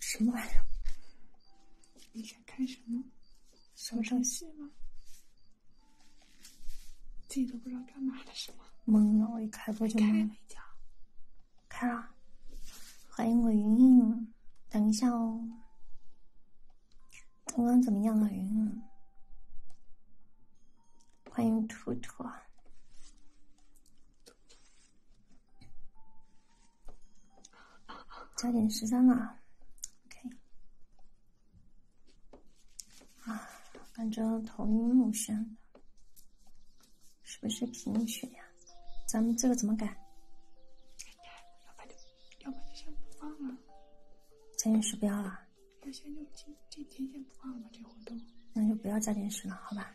什么玩意儿？你想看什么？什上场戏吗？自己都不知道干嘛的是吗？懵了，我一开播就懵了。开了，欢迎我云云。等一下哦，刚刚怎么样啊，云？欢迎兔兔。加点十三了，OK，啊，感觉头晕目眩，是不是贫血呀？咱们这个怎么改？要不就，要不就先不放了。加点十不要了，要就今天先不放了吧，这活动。那就不要加点十了，好吧？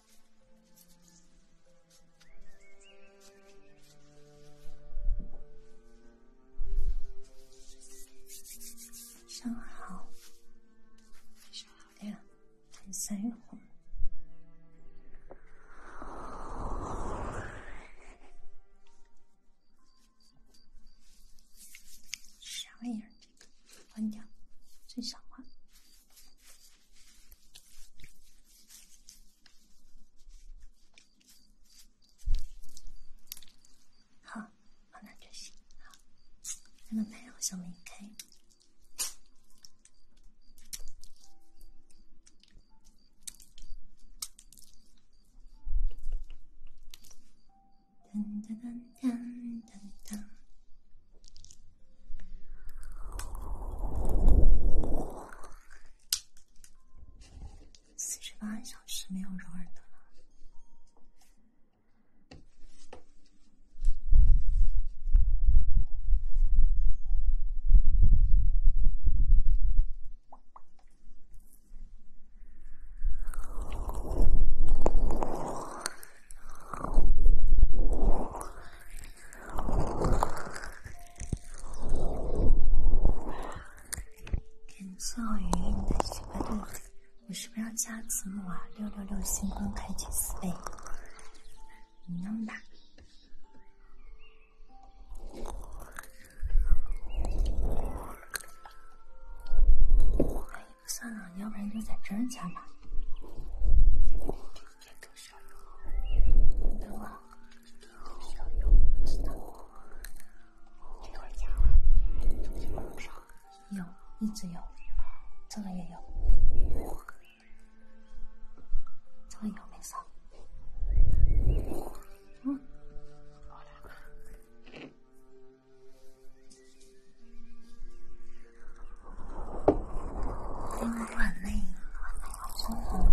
上好，上好亮，三月红，啥玩意儿这个？关掉，最小化。好，那就行。好，那个门好开。哒哒哒。四十八小时没有容忍的了。天，宋浩宇，你在吃白兔？我是不是要加字幕啊？六六六，星光开局四倍，你能打？算了，要不然就在真儿家吧。我这儿加了，有，一直有，这个也有，这个有没少。嗯。因为我很累，很累，好红。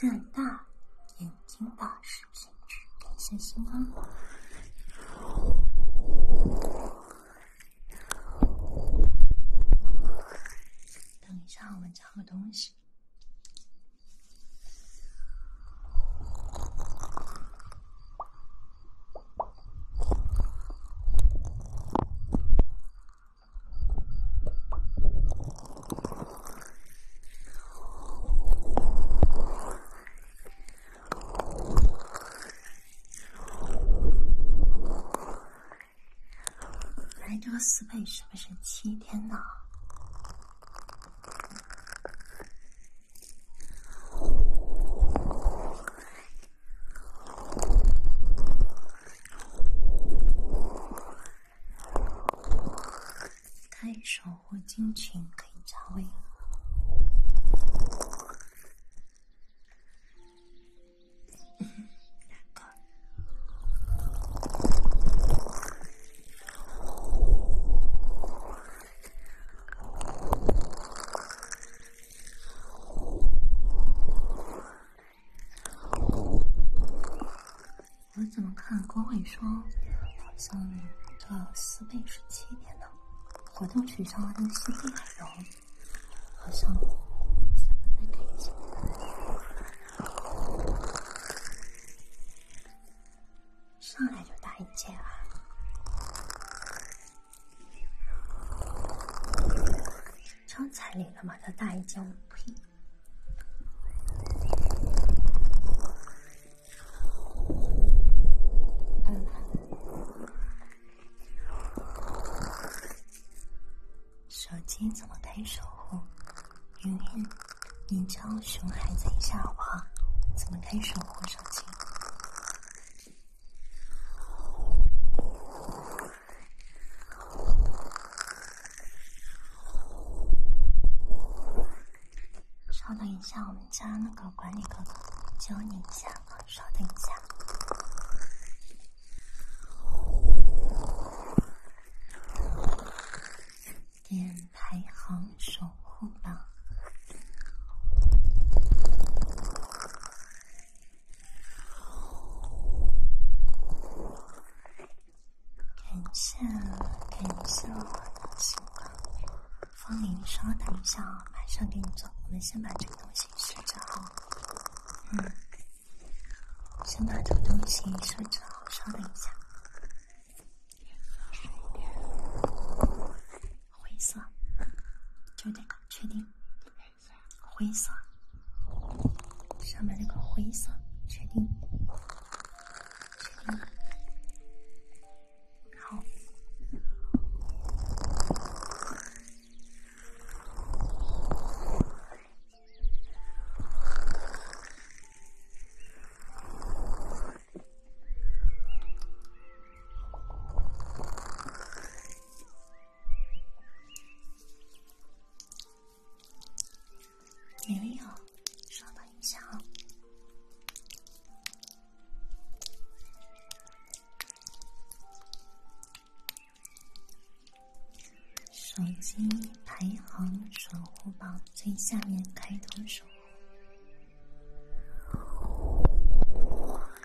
等大眼睛的视频，等一星光。等一下，我们找个东西。来这个四倍是不是七天呢？开一首《我尽可以加微。我怎么看郭伟说，好像这私密是七点呢？活动取消的东西还有，好像上来就打一千二。交彩礼了吗？他大一届。嗯，手机怎么开守护？云云，你教熊孩子一下好不好？怎么开守护手机？稍等一下，我们家那个管理哥哥，求你一下了，稍等一下。点排行守护榜。感受，感受我的星光。方林，稍等一下，马上给你做。我们先把这个东西设置好，嗯，先把这个东西设置好，稍等一下，灰色，就这个，确定。灰色，上面那个灰色，确定，确定。好。没有，稍等一下啊。手机排行守护榜最下面开通守护。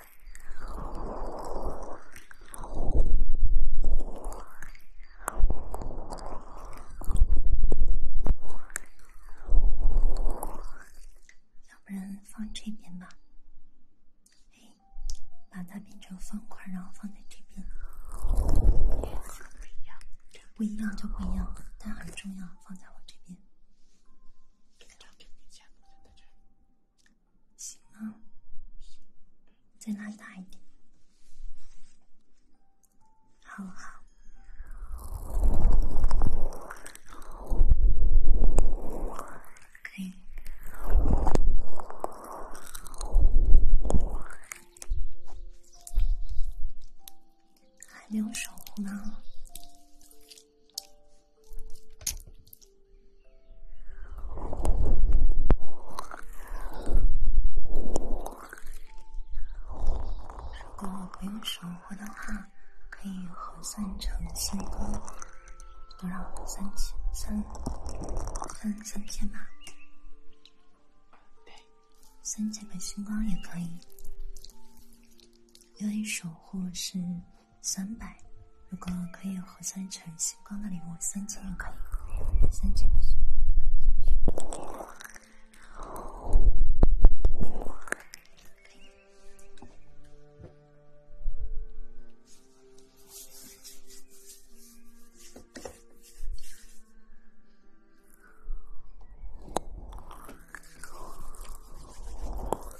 要不然放这边吧。哎，把它变成方块，然后放在这边。不一样，不一样就不一样了。但很重要，放在我这边。行吗？再拉大一点。好好，可以，还没有守护呢。如果不用守护的话，可以核算成星光多少？三千三三三千吧，对，三千个星光也可以。因为守护是。三百，如果可以合算成星光的礼物，三千也可以。三千。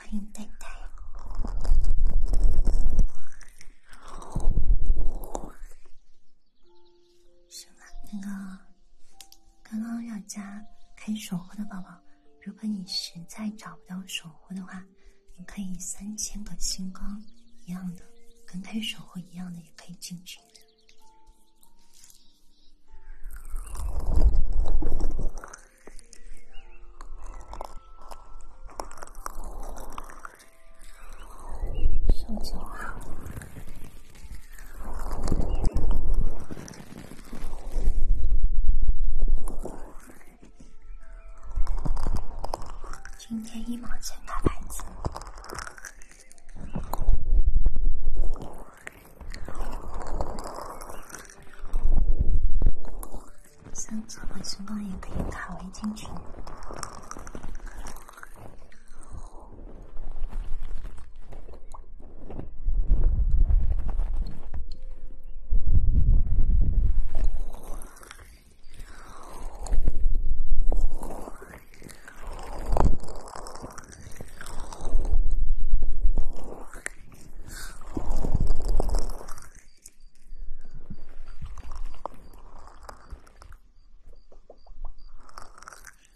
欢迎，太太。什么？那个刚刚要加开守护的宝宝，如果你实在找不到守护的话，你可以三千个星光一样的，跟开守护一样的，也可以进群上九号，今天一毛钱大牌子。三这种情况也可以打位进群。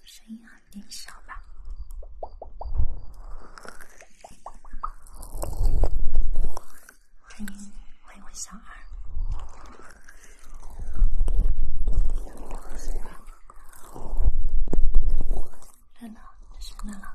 声音有点小吧？欢迎，欢迎，小二。看到了，什么了？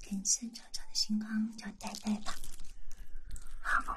人生丑丑的星光，就待在吧。好，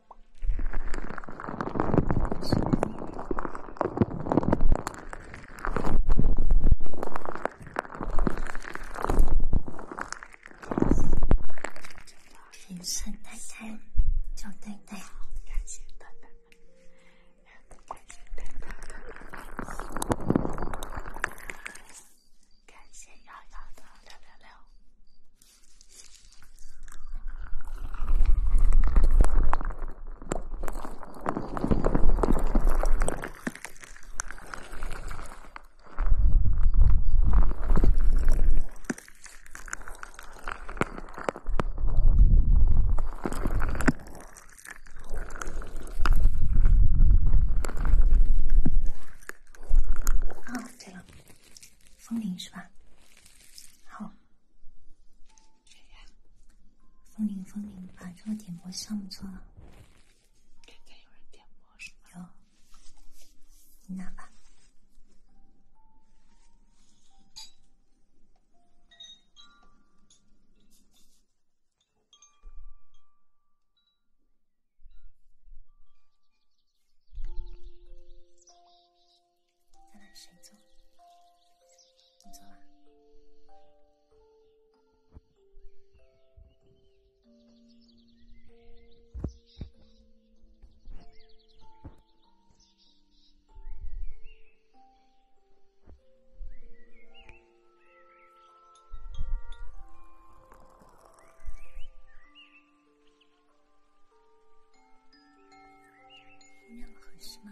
平生难堪，就对对。感谢丹丹，感谢丹丹，感谢瑶瑶的六六六。啊，这个风铃是吧？好，谁呀？风铃，风铃，把这个点播项目做了。今天有人点播什么？有，你拿吧。咱俩谁做？你做吧。那么合适吗？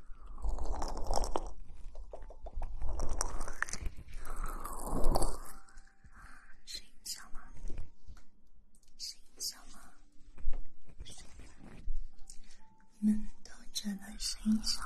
睡觉吗？睡觉吗？睡觉吗？我们都只能睡觉。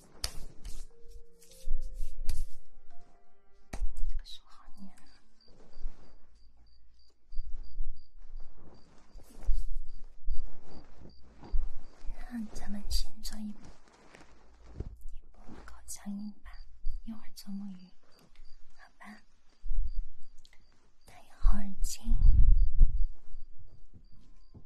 这个树好黏啊！那咱们先做一，一波口腔音吧，一会儿做母语，好吧？戴好耳机。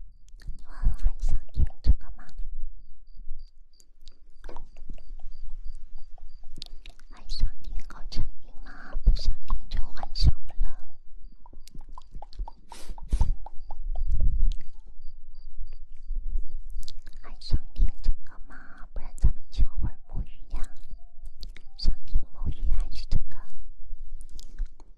你们还想听这个吗？还想听好声音吗？不想听就换上了。还想听这个吗？不然咱们敲会魔芋呀。想听魔芋还是这个？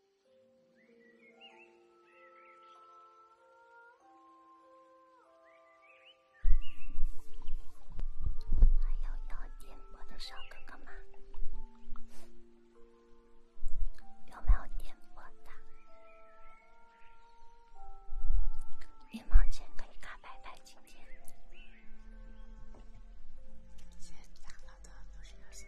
还有要点播的小哥哥吗？有没有点播的？今天。谢谢的鼓励支持。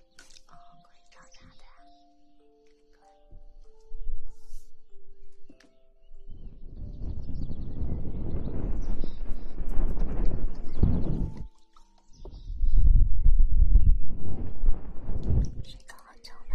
谁搞臭了？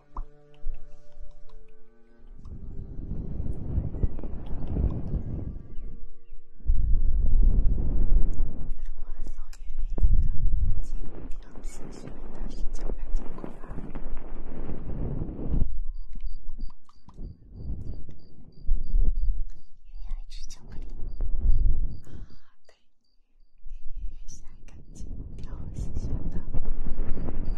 我爱收集勇敢、机灵、调皮、善良、坚强、勇敢、爱吃巧克力、勇敢、机灵、调皮、喜欢的。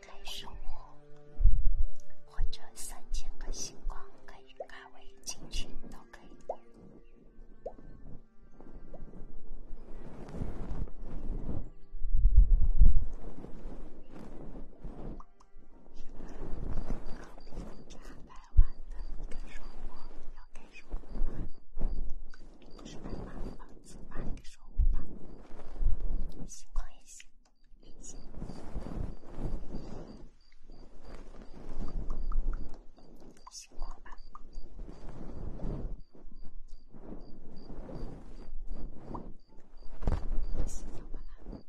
开守护，或者三千颗星光可以改为禁区，都可以。是两百万的，给说，要给说，是两万八，四万的，说五万，行，可以行，不行，不行吧？不行，要不啦？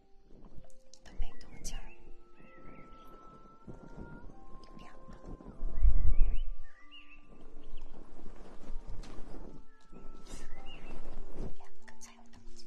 都没动静，两个，两个才有动静。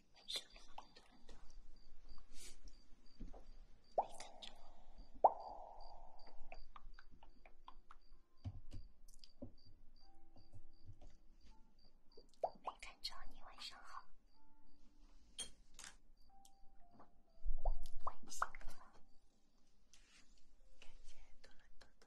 上好，没看我。没看着你，晚上好。晚安。感觉嘟嘟嘟。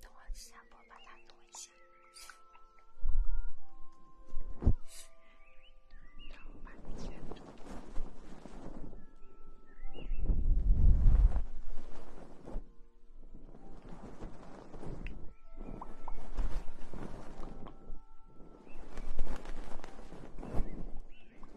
等我下播把它挪一下。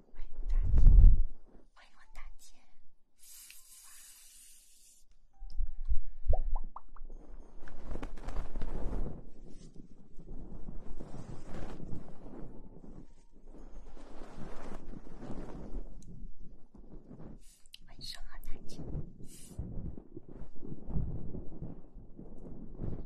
欢迎大姐，欢迎我大姐。晚上好，大姐。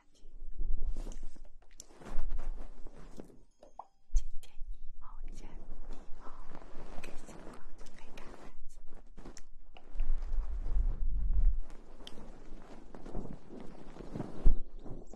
今天好天气，好开心，逛着买单子。